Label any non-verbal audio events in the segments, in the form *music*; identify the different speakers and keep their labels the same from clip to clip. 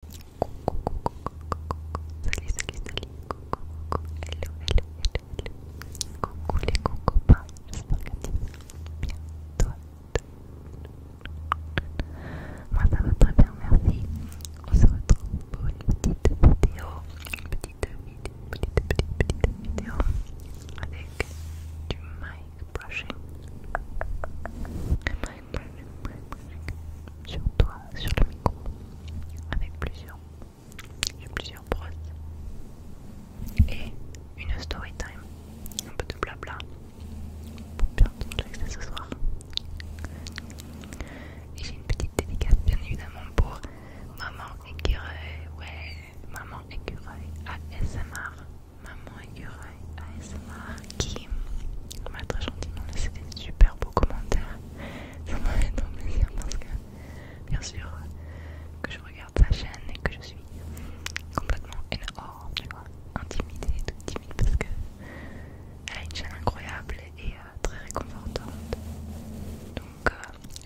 Speaker 1: Coucou, coucou, coucou, coucou, Salut, salut, salut. Coucou, coucou. Hello, hello, hello, hello. Coucou les copains. J'espère que tu vas bien. Toi, moi ça va très bien, merci. On se retrouve pour une petite vidéo, une petite vidéo, petite petite petite vidéo avec du Mike brushing. Le sur toi, sur le micro, avec plusieurs, plusieurs brosses et une story time, un peu de blabla pour bien te ce soir. Et j'ai une petite dédicace bien évidemment pour Maman Écureuil, ouais, Maman Écureuil ASMR, Maman Écureuil ASMR qui m'a très gentiment laissé des super beaux commentaires. Ça m'a fait plaisir parce que, bien sûr, que je regarde sa chaîne et que je suis complètement énorme, tu intimidée, toute timide parce que elle a une chaîne incroyable et euh, très réconfortante. Donc,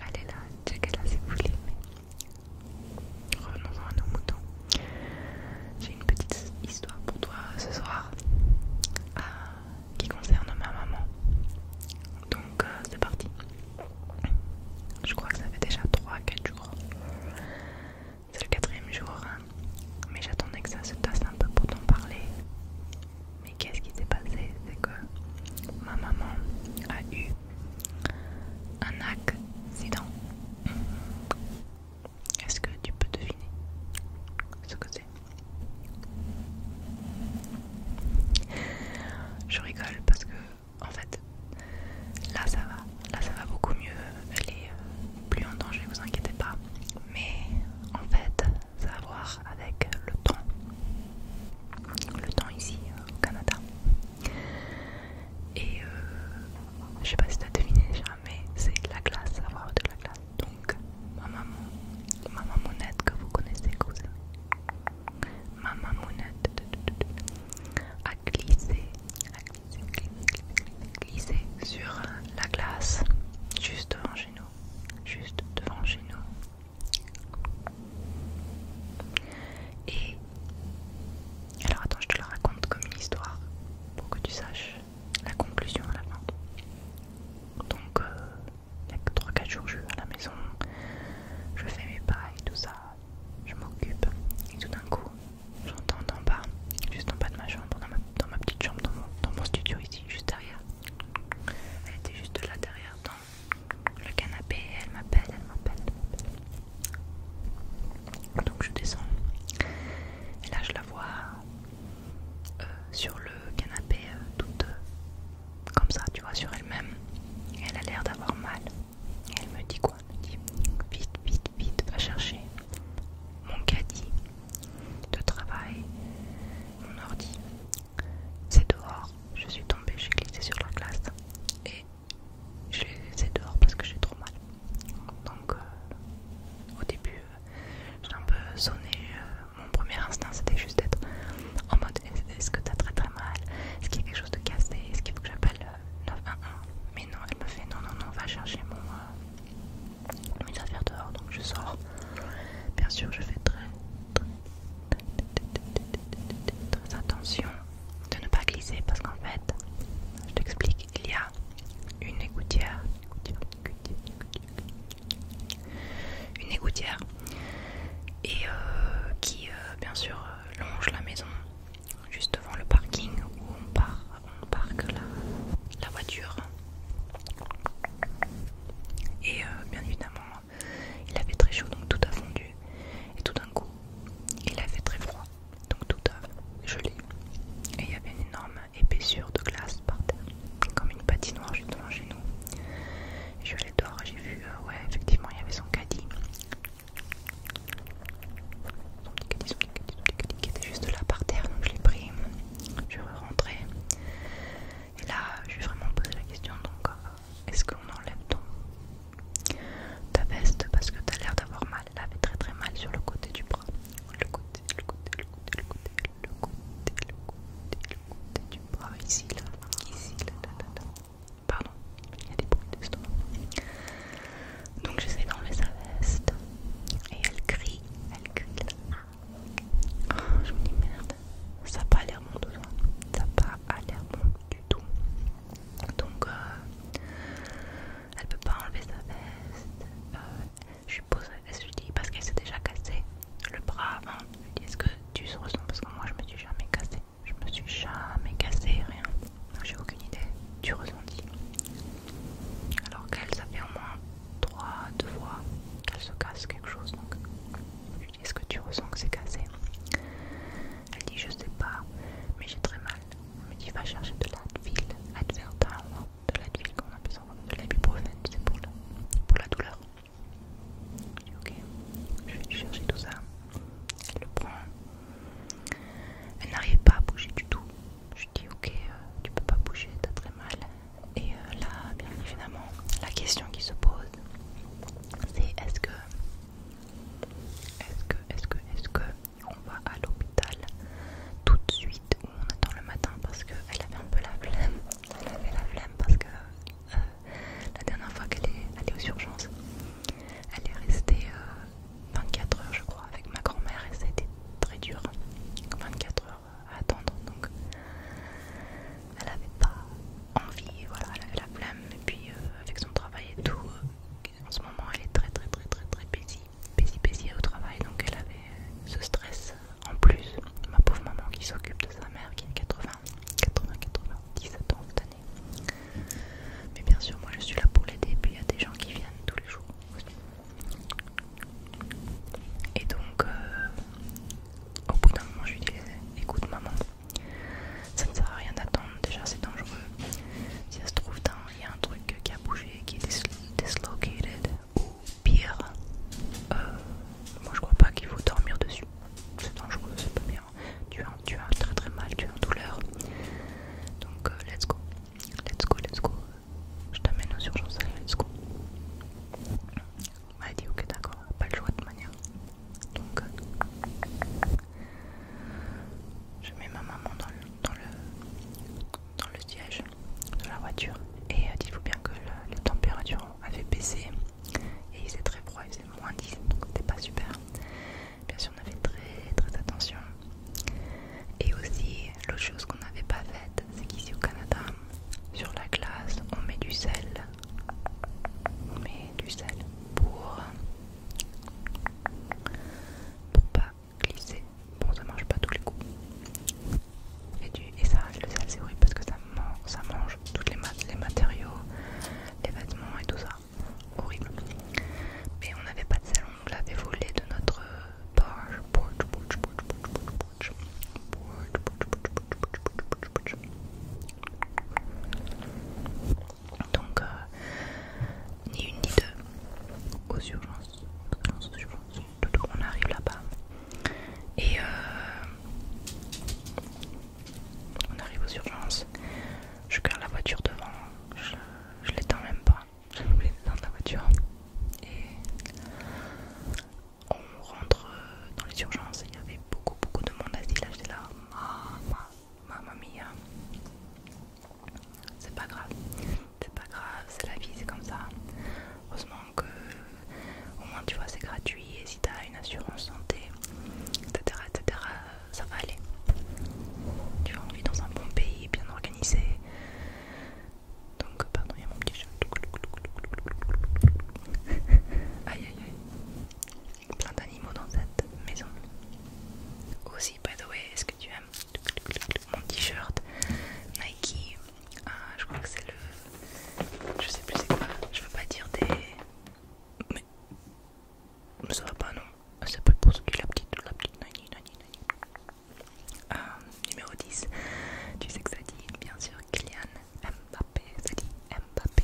Speaker 1: allez euh, là, checkez là si vous voulez. Revenons-en à nos moutons. J'ai une petite histoire pour toi ce soir euh, qui concerne ma maman. Donc euh, c'est parti. Je crois que ça fait déjà 3-4 jours. C'est le quatrième jour. Hein. Mais j'attendais que ça se tasse un peu pour t'en parler. Mais qu'est-ce qui s'est passé C'est que ma maman a eu un accident. Est-ce que tu peux deviner ce que c'est Je rigole parce que en fait là ça va, là ça va beaucoup mieux, elle est euh, plus en danger, vous inquiétez pas. Mais en fait ça a à voir avec le temps. Le temps ici euh, au Canada. Et euh, je sais pas si tu as deviné mais c'est la glace, avoir de la glace. Donc ma maman, monette que vous connaissez, cousin maman aimez, a glissé sur la glace juste devant chez nous, juste devant chez nous. Et alors attends, je te la raconte comme une histoire pour que tu saches la conclusion à la fin. Donc, euh, il y a 3-4 jours, je suis à la maison, je fais mes pas et tout ça, je m'occupe. Et tout d'un coup, j'entends d'en bas, juste en bas de ma chambre, dans ma, petite chambre, dans mon, studio ici, juste derrière. Elle était juste là derrière, dans le canapé, elle m'appelle, elle m'appelle. Donc je descends. Et là je la vois euh, sur le canapé euh, toute euh, comme ça, tu vois, sur elle-même. Elle a l'air d'avoir mal. Et elle me dit quoi Elle me dit vite, vite, vite, va chercher mon caddie de travail, mon ordi. C'est dehors, je suis tombée, j'ai glissé sur la glace et je les laissais dehors parce que j'ai trop mal. Donc au début, j'ai un peu sonné. mon premier instinct c'était juste d'être en mode est-ce que t'as très très mal Est-ce qu'il y a quelque chose de cassé Est-ce qu'il faut que j'appelle 911 Mais non, elle me fait non, non, non, va chercher mon, Mon dehors. Donc je sors. Bien sûr, je fais très, très, très attention de ne pas glisser parce qu'en fait, je t'explique, il y a une égouttière, une égouttière, et euh, qui euh, bien sûr euh, longe la maison juste devant le parking où on, parle parque la, voiture et bien évidemment il avait très chaud donc tout a fondu et tout d'un coup il avait très froid donc tout à gelé. Et il y avait une énorme épaisseur de glace par terre, comme une patinoire justement chez nous. je l'ai j'ai vu, euh, ouais, effectivement, il y avait son caddie. Son petit caddie, son petit caddie, qui était juste là par terre, donc je l'ai pris, je rentrée Et là, je suis vraiment posé la question donc, euh, est-ce qu'on enlève ton ta veste, parce que t'as l'air d'avoir mal. Elle avait très très mal sur le côté du bras. Le côté, le côté, le côté, le côté, le côté, le côté, le côté du bras. Ici, là, ici, là, Pardon, il y a des bruits d'estomac. Donc j'essaie d'enlever sa veste. Et elle crie, elle crie là. je me dis merde, ça n'a pas l'air bon tout ça. Ça n'a pas l'air bon du tout. Donc, euh, elle peut pas enlever sa veste. pose euh, je suppose, elle se dit parce qu'elle s'est déjà cassée, le bras avant. Hein. Je dis est-ce que tu se ressens Parce que moi je me suis jamais cassée, Je me suis jamais cassée, rien. J'ai aucune idée Tu ressentis. Alors qu'elle, ça fait au moins 3, 2 fois qu'elle se casse quelque chose. Donc je lui dis est-ce que tu ressens que c'est cassé Elle dit je sais pas, mais j'ai très mal me dit va chercher de l'Advil, de l'Advil qu'on appelle ça, de l'ibuprofène, c'est pour, pour la douleur. Je dis ok, je vais chercher tout ça. Elle le prend. Elle n'arrive pas à bouger du tout. Je dis ok, euh, tu peux pas bouger, t'as très mal. Et euh, là, bien évidemment, la question qui se pose, c'est est-ce que, est-ce que, est-ce que, est-ce que on va à l'hôpital tout de suite où on attend le matin parce qu'elle avait un peu la flemme. Elle avait la flemme parce que euh, la dernière fois qu'elle est allée aux urgences, elle est restée 24 euh, heures je crois avec ma grand-mère et ça a été très dur. 24 hein. heures à attendre donc elle avait pas envie, voilà, elle avait la flemme et puis euh, avec son travail et tout, en ce moment elle est très très très très très busy, busy, au travail donc elle avait euh, ce stress euh, en plus. Ma pauvre maman qui s'occupe de sa mère qui a 80, 80, 17 ans cette année. Mais bien sûr moi je suis là pour l'aider puis il y a des gens qui viennent tous les jours. Et donc euh, au bout d'un moment je lui dis écoute maman ça ne sert à rien d'attendre, déjà c'est dangereux. Si ça se trouve, il y a un truc qui a bougé, qui est dislocated, ou pire, euh, moi je crois pas qu'il faut dormir dessus. C'est dangereux, c'est pas bien. Tu as, tu as très très mal, tu as une douleur. Donc, euh, let's go. Let's go, let's go. Je t'amène aux urgences, let's go. On m'a dit ok d'accord, pas le choix de manière. Donc, euh, je mets ma maman dans le, dans le, siège de la voiture. Et euh, dites-vous bien que la les températures avaient baissé et il faisait très froid, il faisait moins 10, donc c'était pas super. Bien sûr, on avait très très attention. Et aussi, l'autre chose qu'on n'avait pas faite, c'est qu'ici au Canada, sur la glace, on met du sel. On met du sel pour pour pas glisser. Bon, ça marche pas tous les coups. Et, du, ça, le sel, c'est horrible parce que ça, mange tous les, les matériaux, les vêtements et tout ça. Horrible. Mais on n'avait pas de salon on l'avait volé de notre donc, euh, ni une ni deux. Aux urgences. On arrive là-bas. Et euh, on arrive aux urgences. Je garde la voiture devant. Je, l'étends même pas. J'ai oublié dans la voiture. Et on rentre dans les urgences. Il y avait beaucoup, beaucoup de monde à Là, j'étais là. Ah, ah. Maman mia. C'est pas grave. C'est pas grave, c'est la vie, c'est comme ça. Heureusement que au moins tu vois c'est gratuit et si t'as une assurance santé, etc., etc., ça va aller. Tu vas on dans un bon pays, bien organisé. Donc pardon, il y a mon petit chat. *laughs* aïe aïe aïe plein d'animaux dans cette maison. Aussi, by the way, est-ce que tu aimes mon t-shirt Nike ah, Je crois que c'est le. Je sais plus c'est quoi. Je veux pas dire des. Mais. Ça va pas, non C'est pas pour ce qui la petite, la petite Nani, euh, numéro 10. Tu sais que ça dit, bien sûr, Kylian Mbappé. Ça dit Mbappé.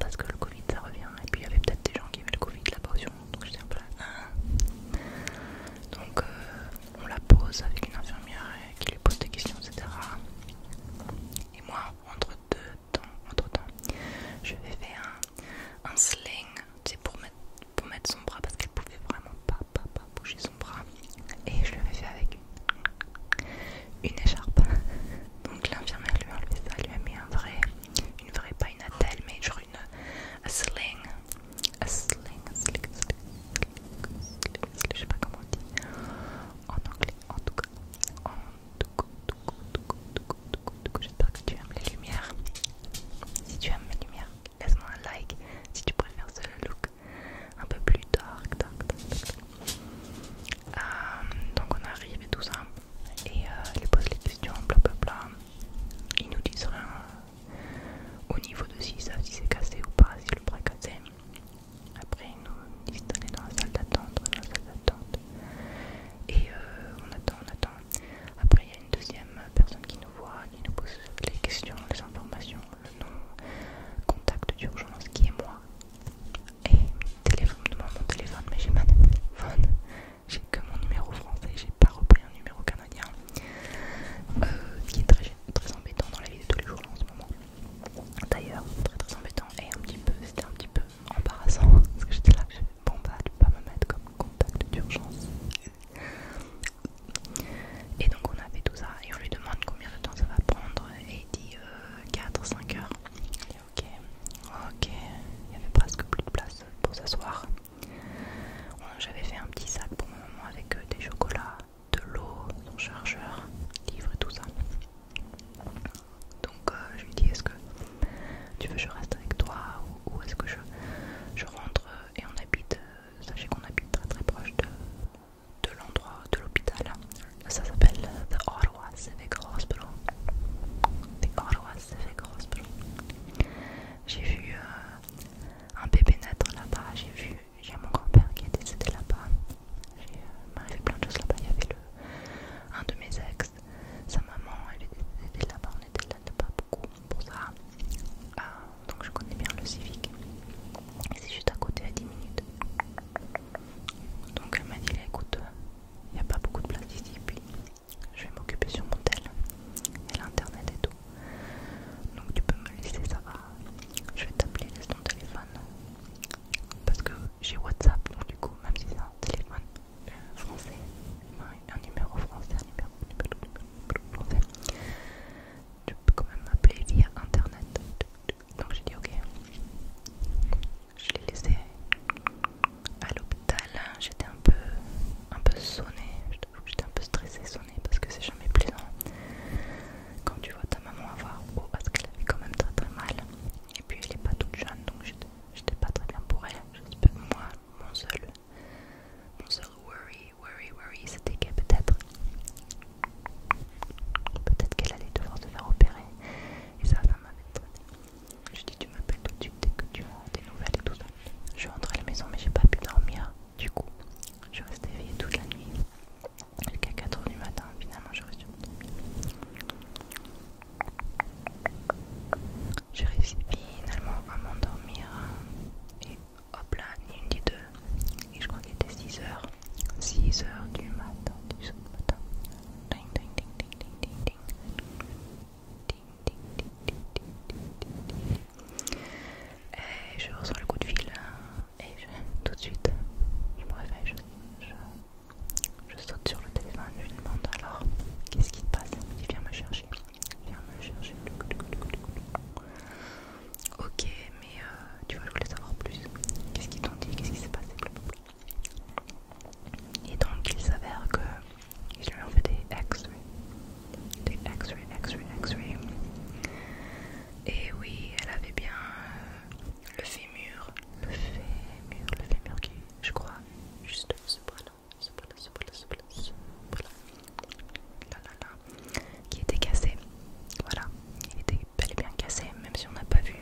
Speaker 1: parce que le Covid ça revient et puis il y avait peut-être des gens qui avaient le Covid là-bas aussi donc j'étais un peu là hein. donc euh, on la pose avec une infirmière qui lui pose des questions etc et moi entre deux temps entre temps je vais faire un, un sling c'est pour mettre pour mettre son bras parce qu'elle pouvait vraiment pas, pas, bouger son bras et je l'avais fait avec une, écharpe donc l'infirmière lui a ça, lui a mis un vrai ne vraie, pas une attelle, mais genre une a sling, a sling, sling, sling, sling, sling, sling, je sais pas comment on dit en anglais, en tout cas, en tout cas, j'espère que tu aimes les lumières, si tu aimes les lumières, laisse-moi un like, si tu préfères ce look un peu plus dark, dark, dark, dark. Euh, donc on arrive et tout ça. Et ils euh, il pose les questions, blablabla. Ils nous disent rien euh, au niveau de s'ils savent si c'est cassé ou pas, si le bras cassé. Après ils nous disent d'aller dans la salle d'attente, dans la salle d'attente. Et on attend, on attend. Après il y a une deuxième personne qui nous voit, qui nous pose les questions, les informations, le nom, contact d'urgence qui est moi. Et téléphone, me demande mon téléphone, mais j'ai pas de téléphone. J'ai que mon numéro français, j'ai pas repris un numéro canadien. Euh, qui est très, embêtant dans la vie de tous les jours en ce moment. D'ailleurs, très très embêtant et un petit peu, c'était un petit peu embarrassant *laughs* parce que j'étais là, je bon bah tu peux pas me mettre comme contact d'urgence. Et donc on a fait tout ça et on lui demande combien de temps ça va prendre et il dit 4-5 euh, heures ok, ok. Il y avait presque plus de place pour s'asseoir. J'avais fait un petit sac pour ma maman avec euh, des chocolats, de l'eau, son chargeur, livre et tout ça. Donc euh, je lui ai dit est-ce que tu veux que je reste avec toi ou, est-ce que je, je rentre euh, et on habite, sachez qu'on habite très très proche de l'endroit, de l'hôpital, ça s'appelle The Ottawa Civic Hospital. The Ottawa Civic Hospital. J'ai vu euh, un bébé naître là-bas. J'ai vu, j'ai mon grand-père qui est décédé là-bas. J'ai euh, plein de choses là-bas. Il y avait le, un de mes ex, sa maman, elle était là-bas. On était là-bas beaucoup pour ça. Euh, donc je connais bien le civique. C'est juste à côté à 10 minutes. Donc elle m'a dit écoute, il n'y a pas beaucoup de place ici. Puis je vais m'occuper sur mon tel et l'internet et tout. Donc tu peux me laisser, ça va. Je vais t'appeler, laisse ton téléphone. Parce que j'ai WhatsApp, donc du coup, même si c'est un téléphone euh, français, un numéro français, un numéro, français, tu peux quand même m'appeler via internet. Donc j'ai dit ok. Je l'ai laissé à l'hôpital. J'étais un peu, un peu sonnée. J'étais un peu stressée, sonnée, parce que c'est jamais plaisant quand tu vois ta maman avoir haut parce qu'elle avait quand même très très mal. Et puis elle est pas toute jeune, donc j'étais pas très bien pour elle. pas que moi, mon seul, mon seul worry, worry, worry, c'était que peut-être, peut-être qu'elle allait devoir se faire opérer. Et ça, ça m'avait très Je dis, tu m'appelles tout de suite dès que tu as des nouvelles et tout ça. Je suis rentrée à la maison, mais j'ai pas pu dormir. Du coup, je restée éveillée toute la nuit. Jusqu'à 4h du matin, finalement, je reste J'ai réussi finalement à m'endormir. Et hop là, ni une ni deux. Et je crois qu'il était 6h. 6 heures du matin, du matin. Et je reçois le coup de fil hein. et tout de suite, je me réveille, je, saute sur le téléphone, je lui demande alors qu'est-ce qui te passe Il me dit viens me chercher, viens me chercher. Ok, mais euh, tu vois, je voulais savoir plus. Qu'est-ce qu'ils t'ont dit Qu'est-ce qui s'est passé et donc il s'avère que j'ai lui fait des x ray Des x ray x ray x ray Et oui, elle avait bien euh, le fémur. Le fémur, le fémur qui, je crois, juste ce bras-là, ce bras-là, ce bras-là, ce bras Là, là, là. Qui était cassé. Voilà il était bel et bien cassé, même si on n'a pas vu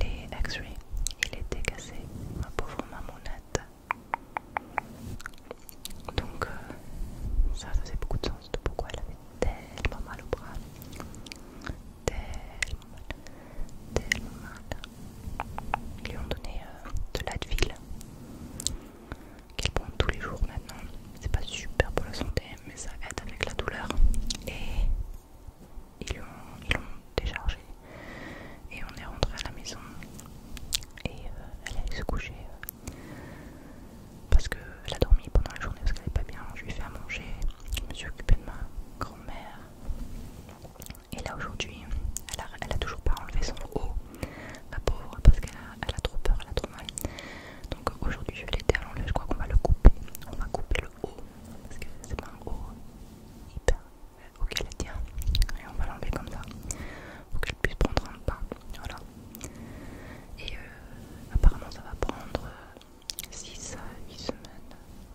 Speaker 1: les X-rays, il était cassé, ma pauvre mamounette. Donc, euh, ça, ça faisait beaucoup de sens de pourquoi elle avait tellement mal au bras. Tellement mal, tellement mal. Ils lui ont donné euh, de l'Advil qu'elle prend tous les jours maintenant. C'est pas super pour la santé, mais ça aide avec la douleur. Et ils l'ont déchargé et on est rentré à la maison et elle euh, elle allait se coucher euh, parce qu'elle a dormi pendant la journée parce qu'elle n'est pas bien, je lui ai fait à manger, je me suis occupé de ma grand-mère et là aujourd'hui elle a, toujours pas enlevé son haut, la pauvre parce qu'elle a, trop peur, elle a trop mal donc aujourd'hui je vais l'aider à l'enlever, je crois qu'on va le couper, on va couper parce que c'est pas un haut hyper ok euh, elle tient et on va l'enlever comme ça pour que je puisse prendre un pain, voilà et euh, apparemment ça va prendre 6 à 8 semaines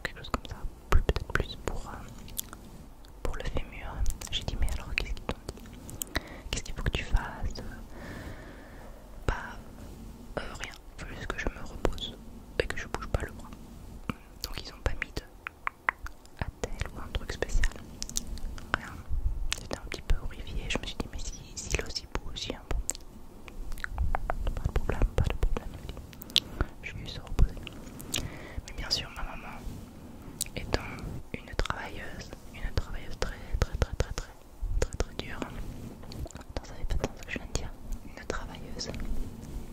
Speaker 1: quelque chose comme ça plus peut-être plus pour euh, le fémur j'ai dit mais alors qu'est-ce qu'ils dit qu'est-ce qu'il faut que tu fasses Pas bah, rien il faut juste que je me repose et que je bouge pas le bras. Donc ils ont pas mis de attel ou un truc spécial. Rien. C'était un petit peu horrifié. Je me suis dit mais si, si aussi beau aussi un bon. Pas de problème, pas de problème. Je juste se reposer. Mais bien sûr ma maman étant une travailleuse, une travailleuse très très très très très très très dur. Attends, ça fait pas de ce que je viens de dire. Une travailleuse,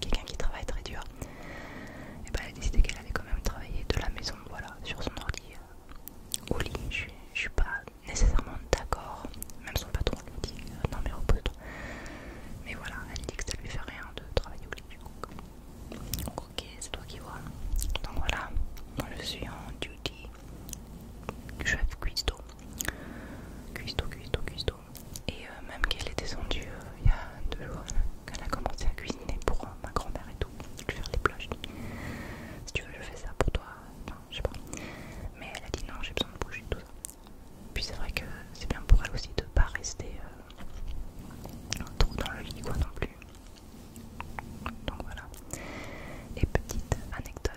Speaker 1: quelqu'un qui travaille très dur, et bah, elle a décidé qu'elle allait quand même travailler de la maison, voilà, sur son ordi. Euh, au lit, je suis, pas nécessairement d'accord, même son patron lui dit euh, non mais repose-toi. Mais voilà, elle dit que ça lui fait rien de travailler au lit du Donc ok, c'est toi qui vois. Donc voilà, je suis en duty chef cuistot, cuistot, cuistot, cuistot. Et euh, même qu'elle est descendue euh, il y a deux jours, qu'elle a commencé à cuisiner pour euh, ma grand-mère et tout, faire les plages si tu veux, je fais ça pour toi, Non, je sais pas. Mais elle a dit non, j'ai besoin de bouger tout ça. Puis c'est vrai que c'est bien pour elle aussi de pas rester trop dans le lit, quoi non plus. Donc voilà. Et petite anecdote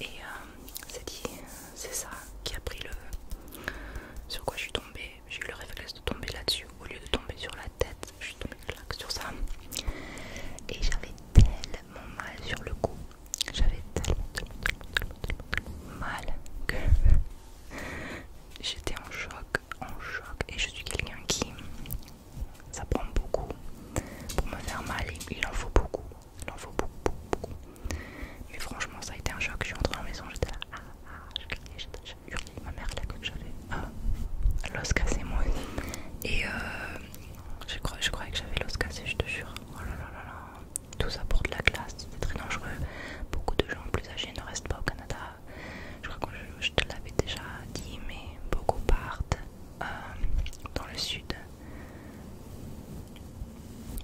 Speaker 1: et euh, c'est ça qui a pris le. Sur quoi je suis tombée. J'ai eu le réflexe de tomber là-dessus. Au lieu de tomber sur la tête, je suis tombée sur ça. Et j'avais tellement mal sur le cou. J'avais tellement, tellement, tellement mal que *laughs* j'étais en choc, en choc. Et je suis quelqu'un qui. Ça prend beaucoup pour me faire mal. Il en faut beaucoup il en faut beaucoup, beaucoup, Mais franchement, ça a été un choc. Je suis rentrée à la maison, j'étais là, ah, ah, je criais, j'ai hurlé. Ma mère, cru que j'avais euh, l'os cassé, moi. Et euh, je, croyais que j'avais l'os cassé, je te jure. Oh là là là là, tout ça pour de la glace, c'était très dangereux. Beaucoup de gens plus âgés ne restent pas au Canada. Je crois que je, te l'avais déjà dit, mais beaucoup partent euh, dans le sud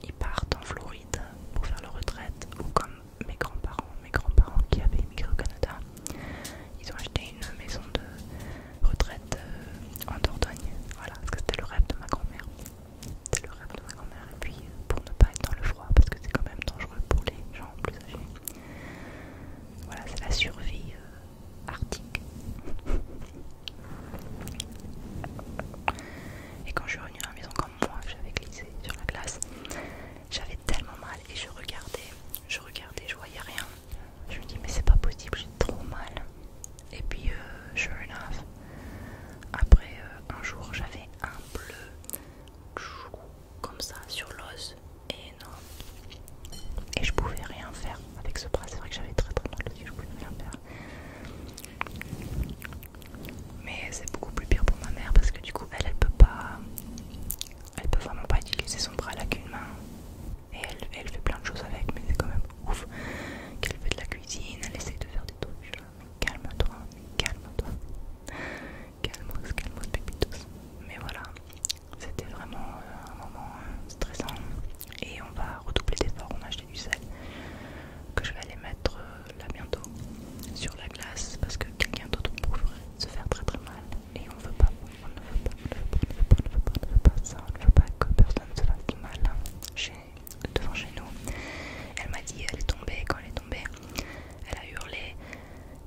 Speaker 1: ils partent en Floride pour faire leur retraite ou comme mes grands-parents, mes grands-parents qui avaient immigré au Canada, ils ont acheté une maison de retraite euh, en Dordogne. Voilà, parce que c'était le rêve de ma grand-mère. C'était le rêve de ma grand-mère. Et puis pour ne pas être dans le froid, parce que c'est quand même dangereux pour les gens plus âgés. Voilà, c'est la survie euh, arctique. Et quand je suis revenue à la maison comme moi, j'avais glissé sur la glace. J'avais tellement mal et je regardais, je regardais, je voyais rien. Je me dis mais c'est pas possible, j'ai trop mal. Et puis euh, sure enough, après euh, un jour j'avais un bleu comme ça sur l'os et non, Et je pouvais rien faire avec ce bras. C'est vrai que j'avais très très mal aussi, je pouvais rien faire. Mais c'est beaucoup plus pire pour ma mère parce que du coup, elle, elle peut pas. Elle peut vraiment pas utiliser son bras là qu'une main. Et elle, fait plein de choses avec, mais c'est quand même ouf qu'elle fait de la cuisine, elle essaie de faire des trucs. Calme-toi, calme-toi. calme calmos, pépitos. Mais voilà, c'était vraiment euh, un moment euh, stressant et on va redoubler d'efforts. On a acheté du sel que je vais aller mettre euh, là bientôt sur la glace parce que quelqu'un d'autre pourrait se faire très très mal et on veut pas, ne veut pas, on ne veut pas, on ne veut pas, on ne veut ça, on ne veut pas que personne se fasse mal hein, devant chez nous. Elle m'a dit elle est tombée, quand elle est tombée, elle a hurlé,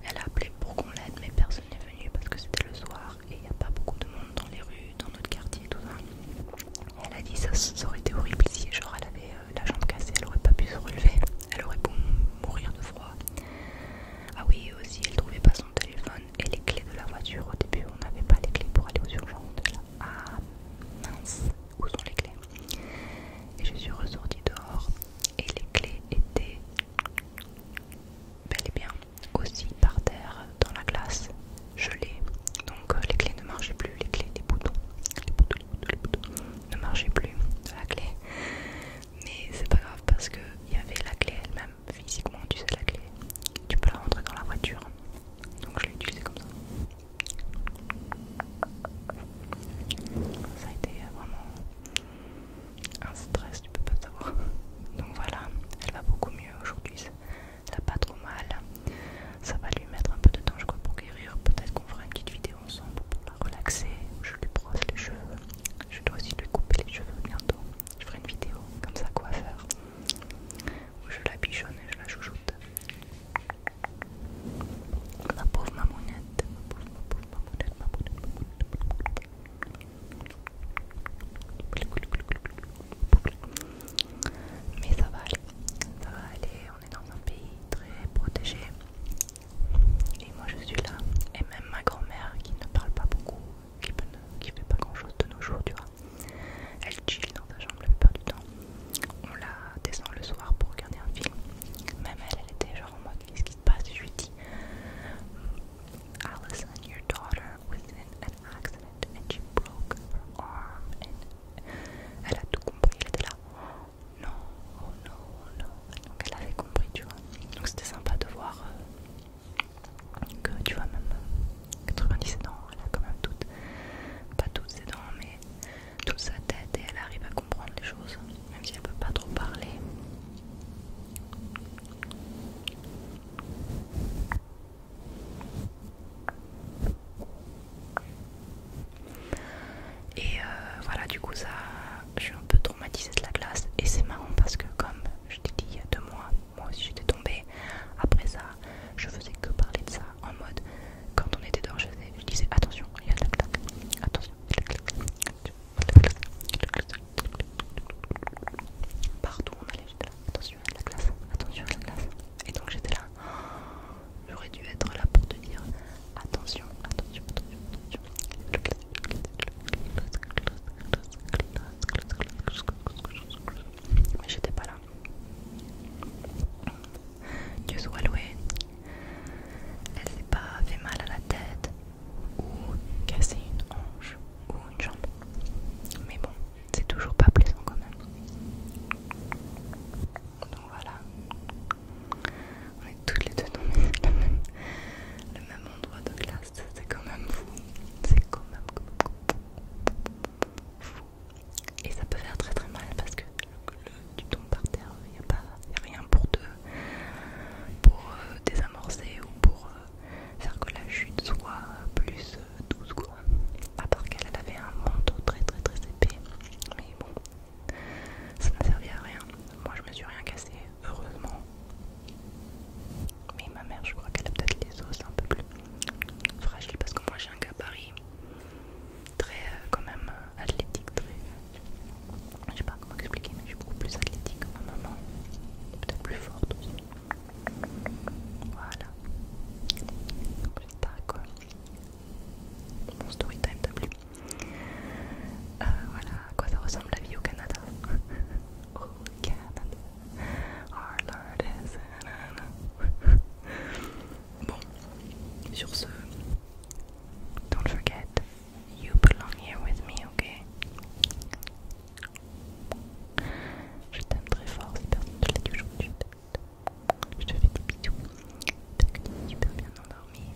Speaker 1: elle a appelé pour qu'on l'aide mais personne n'est venu parce que c'était le soir et il n'y a pas beaucoup de monde dans les rues, dans notre quartier, tout ça. Elle a dit ça, ça aurait été horrible si genre elle avait euh, la jambe cassée, elle aurait pas pu se relever, elle aurait pu mourir de froid. Ah oui, aussi elle trouvait pas son téléphone et les clés de la voiture. Au début, on n'avait pas les clés pour aller aux urgences. Ah mince, où sont les clés Et je suis ressortie dehors et les clés étaient bel et bien aussi par terre dans la glace l'ai. Donc euh, les clés ne marchaient plus, les clés des boutons, les boutons, les boutons, ne marchaient plus la clé. Mais c'est pas grave parce que il y avait la clé elle-même physiquement, tu sais la clé. Tu peux la rentrer dans la voiture. Donc je l'ai utilisée comme ça. Ça a été vraiment un stress, tu peux pas savoir. Donc voilà, elle va beaucoup mieux aujourd'hui, pas trop mal. Ça va lui mettre un peu de temps, je crois, pour guérir. Peut-être qu'on fera une petite vidéo ensemble pour la relaxer. Je lui brosse les cheveux. Je dois aussi lui couper les cheveux bientôt. Je ferai une vidéo comme ça, quoi faire. Où je la bichonne et je la chouchoute. La pauvre mamounette, ma pauvre, mamounette, ma mais ça va aller, ça va aller, on est dans un pays très protégé. Et moi je suis là, et même ma grand-mère qui ne parle pas beaucoup, qui, ne, qui fait pas grand-chose de nos jours, tu vois. Elle chill dans sa chambre la plupart du temps. On la descend le soir pour regarder un film. Même elle, elle était genre en mode qu'est-ce qui se passe Je lui dis, your daughter accident elle a tout compris, elle était là oh, non, oh non, oh non donc elle avait compris tu vois donc c'était sympa de voir euh, que tu vois même 90 euh, ans, elle a quand même toutes pas toutes ses dents mais toute sa tête et elle arrive à comprendre les choses même si elle peut pas trop parler et euh, voilà, du coup, ça, je suis un peu traumatisée de la glace. Et c'est marrant parce que, comme je t'ai dit il y a deux mois, moi aussi j'étais tombée. Après ça, je faisais que parler de ça en mode quand on était dehors, je disais attention, il y a de la glace, attention, il y a de la glace, Partout on allait, j'étais là, attention à la glace, attention à la glace. Et donc j'étais là, *gasps* j'aurais dû être là pour te dire attention, attention, attention, attention. Mais j'étais pas là. Dieu soit loué. Elle s'est pas fait mal à la tête ou casser une hanche ou une jambe. Mais bon, c'est toujours pas plaisant quand même. Donc voilà. On est toutes les deux dans le même, endroit de glace, C'est quand même fou. C'est quand même fou. Et ça peut faire très très mal parce que le, tu tombes par terre, il n'y a, pas rien pour te pour euh, désamorcer ou pour euh, faire que la chute soit plus douce quoi. À part qu'elle avait un manteau très très très épais. Mais bon, ça n'a servi à rien. Moi je me suis rien cassé, heureusement. Mais ma mère je crois qu'elle a peut-être les os un peu plus fragiles parce que moi j'ai un gabarit très euh, quand même euh, athlétique, très... Je sais pas comment expliquer, mais je suis beaucoup plus athlétique en ma maman. Peut-être plus forte aussi. Voilà. pas quoi. Mon story time t'a plu. Euh, voilà à quoi ça ressemble la vie au Canada. Oh *laughs* Canada. Our Lord is Bon, sur ce, don't forget, you belong here with me, okay? Je t'aime très fort dit Je te fais des bisous. tu super bien endormi.